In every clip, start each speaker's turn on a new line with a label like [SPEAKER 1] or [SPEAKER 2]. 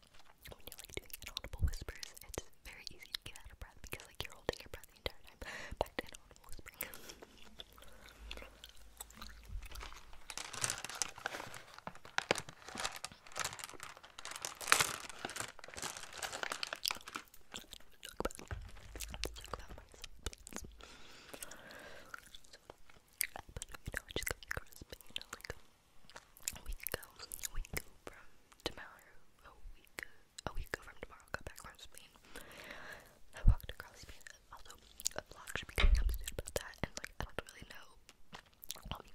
[SPEAKER 1] when you're like doing inaudible whispers, it's very easy to get out of breath because like you're holding your breath the entire time. Back to inaudible whispering a week ago, a week from tomorrow, a week, a week from tomorrow, got back from Spain. I walked across Spain. Also, a vlog should be coming soon about that, and like, I don't really know what I'm talking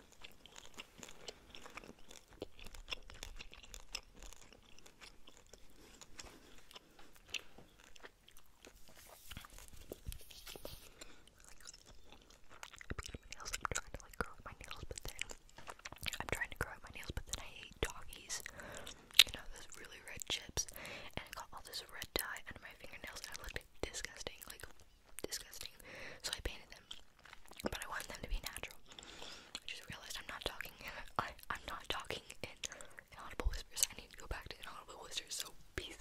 [SPEAKER 1] I'm trying to like grow out my nails, but then I'm trying to grow out my nails, but then I hate doggies. You know those really red chips, and I got all this red dye under my fingernails, and I looked disgusting. Like disgusting. So I painted them, but I wanted them to be natural. just realized I'm not talking. I am not talking in inaudible whispers. I need to go back to inaudible whispers. So peace.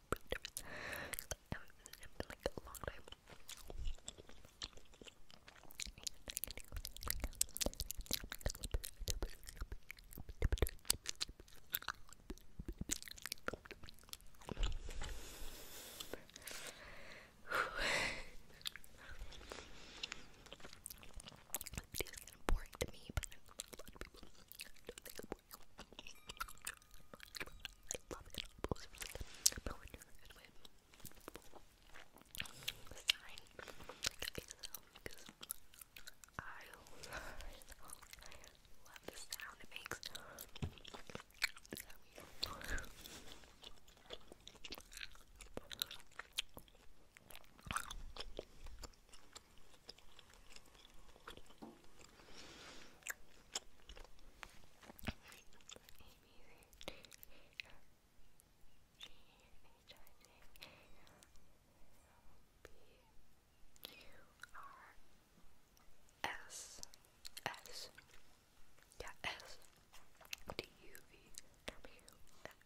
[SPEAKER 1] pretty nervous. I haven't visited in like a long time. This is kind of boring to me, but I know a lot of people don't think it's boring. I love it. Those are really good. But when you're in with sign, like Excel, because I love it. I love the sound it makes. Is that weird? I S S yeah S D U V W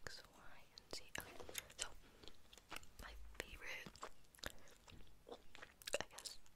[SPEAKER 1] X Y and Z. Okay, so my favorite, I guess,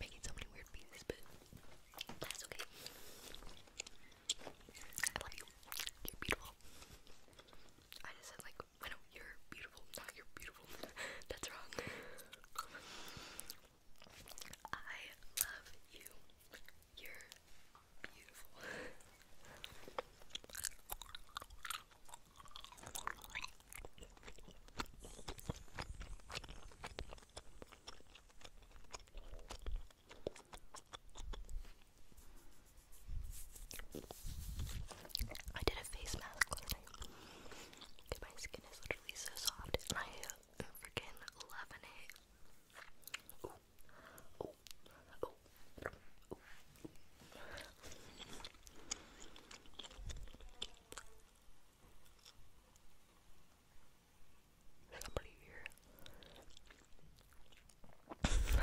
[SPEAKER 1] Making so many weird faces, but that's okay. I love you. You're beautiful. I just said like, I know you're beautiful, not you're beautiful. that's wrong. I love you. You're beautiful. I did a face mask last night. My skin is literally so soft, I freaking love it. Oh, oh, oh, oh. Somebody here. oh, no.